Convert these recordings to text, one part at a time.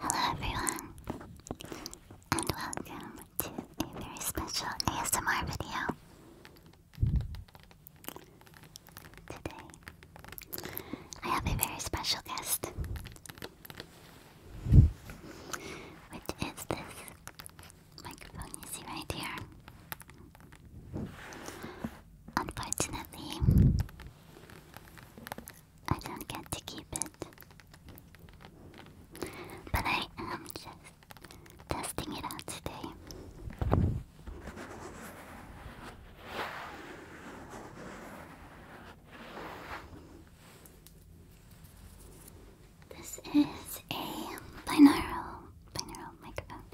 Hello everyone, and welcome to a very special ASMR video. Today, I have a very special guest, which is this microphone you see right here. Unfortunately, I don't get to keep it. But I am just testing it out today. This is a binaural binaural microphone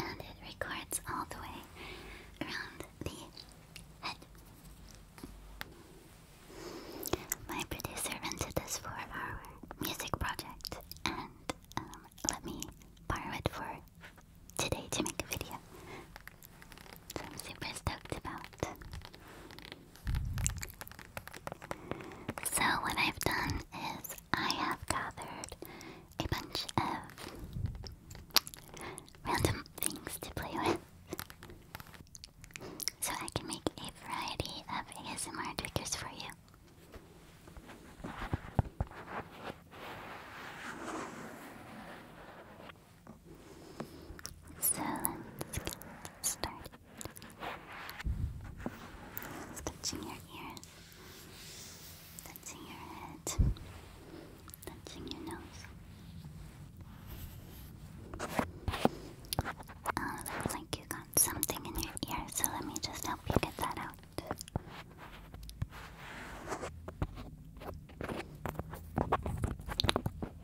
and it records all the way around the my producer rented this for our music project, and um, let me borrow it for today to make a video. So I'm super stoked about. So what I've done is I have gathered a bunch of random things to play with. So I can make a variety of ASMR triggers for you. So let's get started. Touching your ears, touching your head, touching your nose. Oh, looks like you got something in your ear, so let me just help you get that out.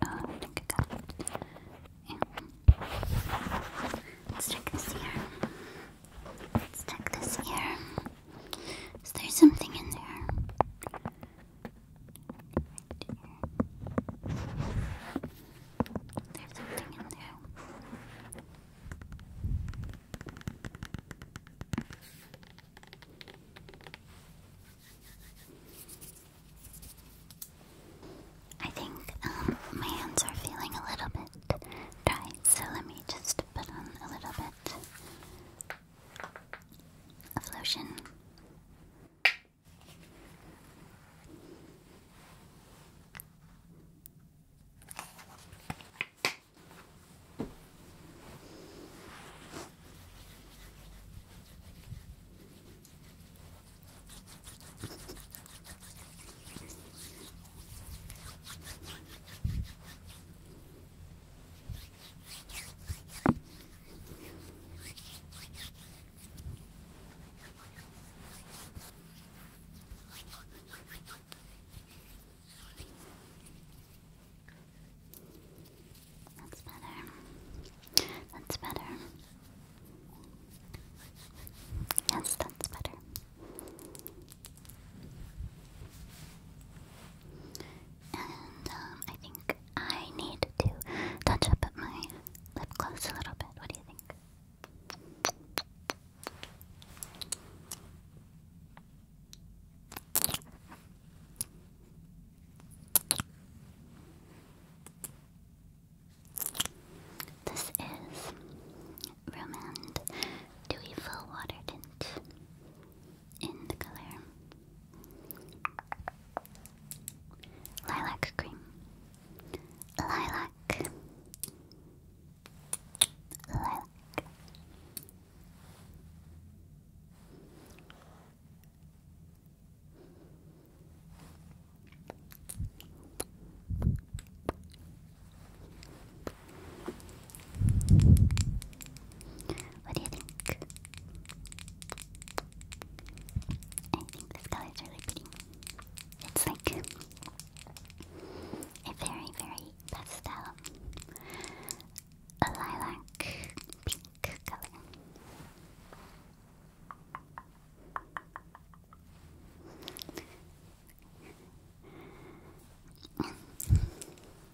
Oh, I think I Let's check this here. Let's check this ear. Is there something in there? There's something in there. I think um, my hands are feeling a little bit dry, so let me just put on a little bit a lotion. That's better. That's better. Yes, that's better. And um, I think I need to touch up my lip gloss a little bit. What do you think? This is Romand Dewy Full Water Tint in the color lilac cream, lilac, lilac. What do you think? I think this color is really pretty. It's like a very, very pastel, a lilac pink color.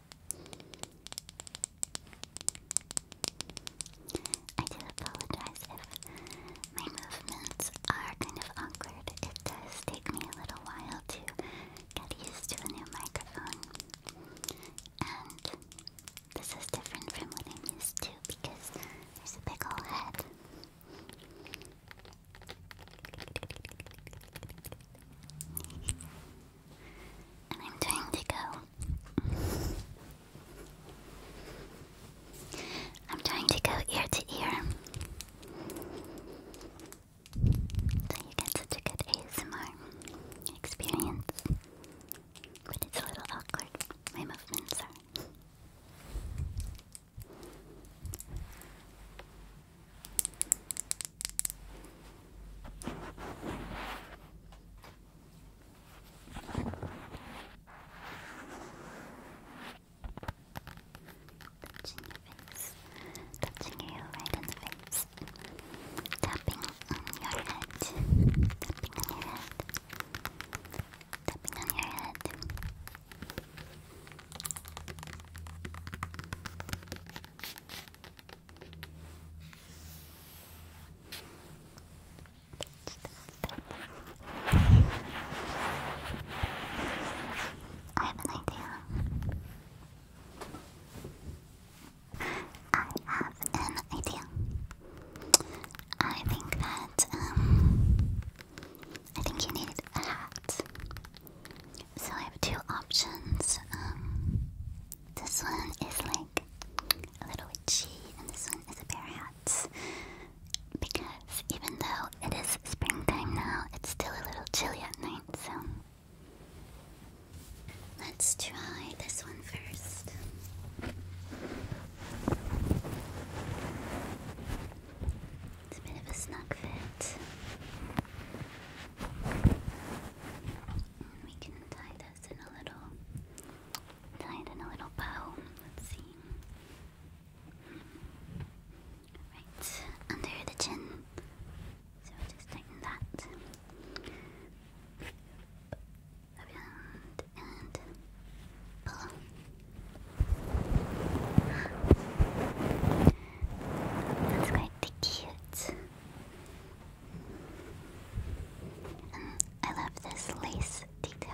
I do apologize if my movements are kind of awkward. It does take me a little while to get used to a new microphone. And this is different from what I'm used to because there's a big old head. I'm trying to go. I'm trying to go ear to ear. So you get such a good ASMR experience. But it's a little awkward. My movements are. Touching your face, touching you right in the face, tapping on your head, tapping on your head, tapping on your head. Tapping I have an idea. I have an idea. I think that um I think you need a hat. So I have two options. Um, this one is like a little witchy, and this one is a bear hat. Because even though it is springtime now, it's still a little chilly at night, so. Let's try this one first. It's a bit of a snug fit we can tie this in a little, tie it in a little bow. Let's see. Right under the chin. So just tighten that. Around and pull. That's quite the cute. I love this lace detail.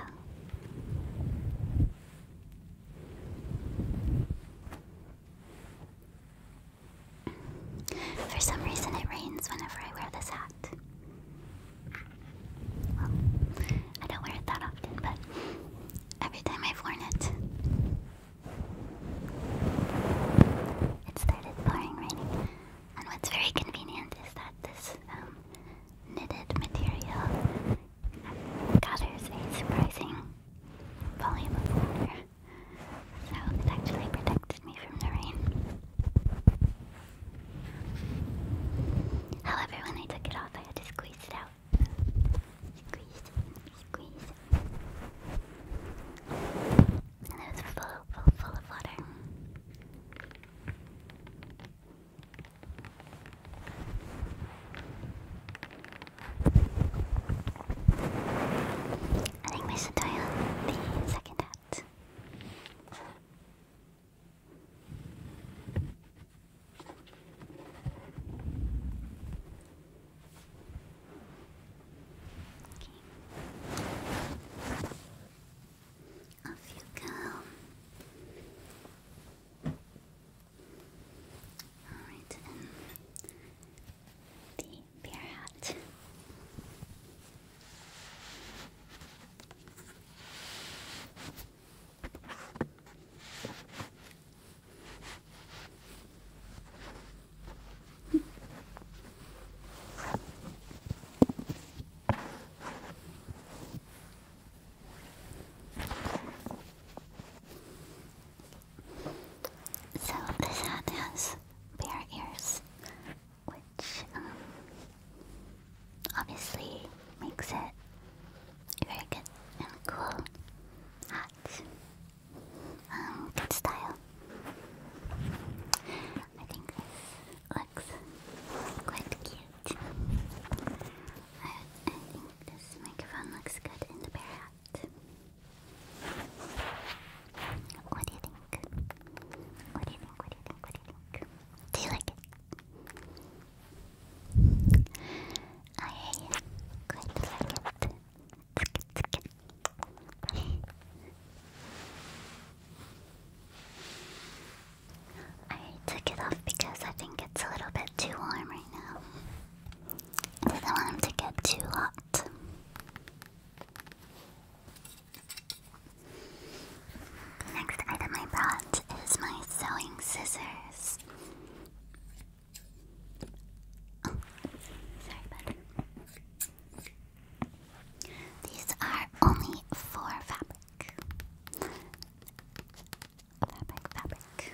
For some reason, it rains whenever I wear this hat. I don't wear it that often, but every time I've worn it, it started pouring raining. And what's very convenient is that this um, knitted material gathers a surprising volume of water. So it actually protected me from the rain. However, when I took it off, I had to squeeze it out. And it was full, full, full of water. I think we should try on the second hat. Okay. Off you go. Alright, the bear so this hat has bare ears, which um, obviously makes it very good and cool hat. Um, good style. I think this looks quite cute. I, I think this microphone looks good in the bear What do you think? What do you think? What do you think? What do you think? Do you like it? I quite like it. I took it off because I think it's a little bit too warm right now. I didn't want him to get too hot. next item I brought is my sewing scissors. Oh, sorry These are only for fabric. Fabric, fabric.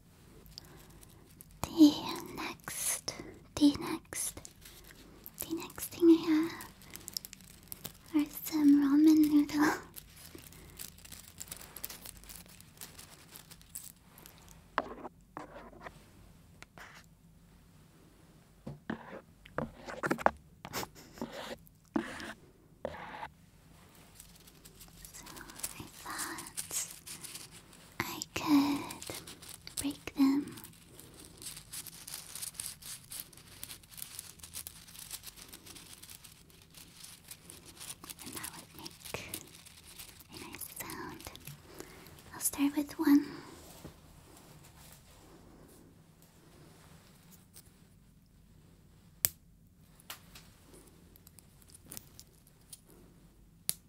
The next, the next, the next thing I have are some ramen noodle. So I thought I could break them. And that would make a nice sound. I'll start with one.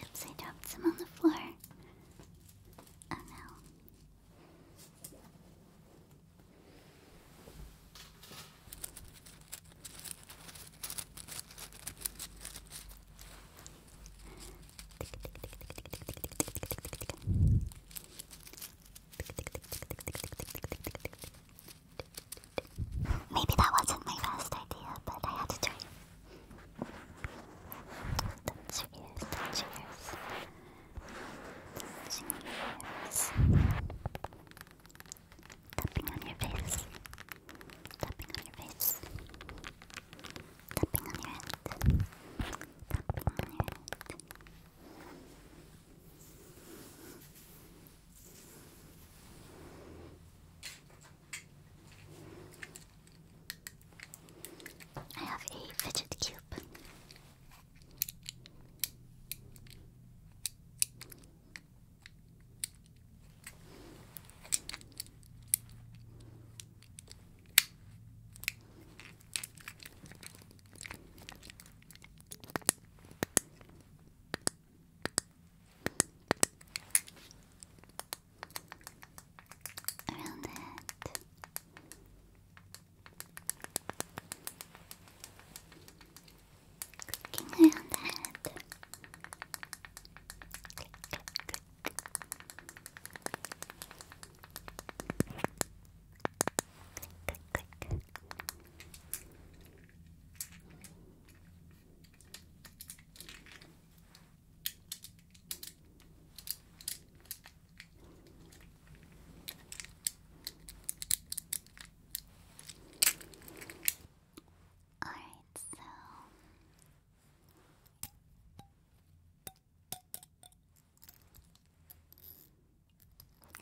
Oops, I dropped some on the floor. Oh no. Maybe that wasn't my best idea, but I had to try. Touch your ears, touch your ears. Touching your ears. Tapping on your face. Tapping on your face. Tapping on your head. Tapping on your head. I have a fidget cube. Around that. Clicking around that. Click, click, click. Click, click, click. All right, so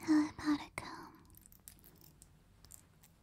how about a comb?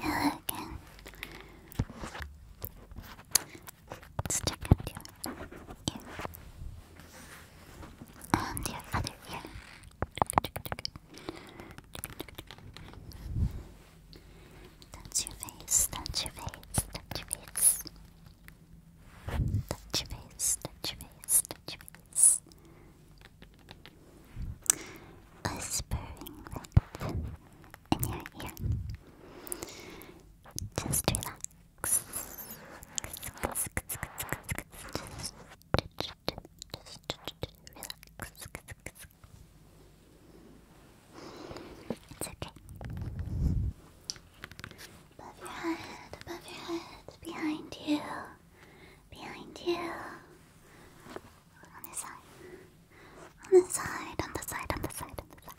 Yeah, again. Stick up your ear and your other ear. Touch your face, touch your face, touch your face. Touch your face, touch your face, touch your face. Whispering right in your ear. Just relax relax. It's okay. Above your head, above your head, behind you, behind you. On the side, on the side, on the side, on the side, on the side.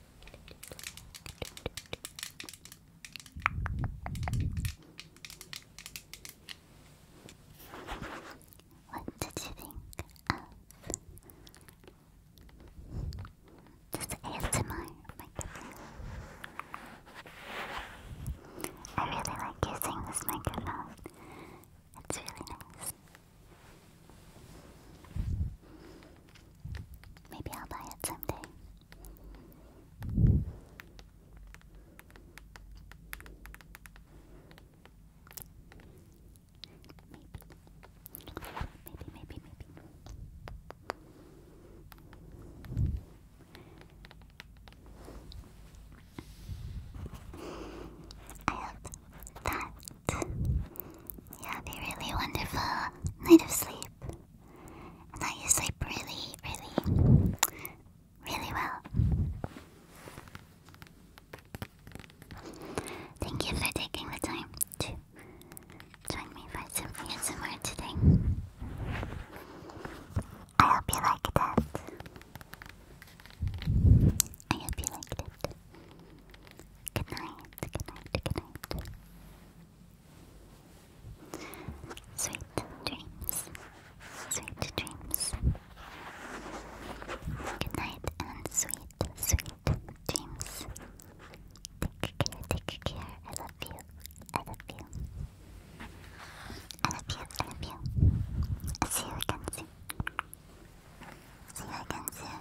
What did you think of this ASMR oh microphone? I really like using this microphone. It's really nice. Maybe I'll buy it someday. Maybe, maybe, maybe, I hope that you a really wonderful night of sleep. And that sleep really, really, really well. Thank you for taking the time to join me for some ASMR today. I hope you liked it. I hope you liked it. Good night. Good night. Good night. Sweet dreams. Sweet dreams. Good night and sweet, sweet dreams. Take care, take care. I love you. I love you. I love you, I love you. I'll see you again soon. See you again soon.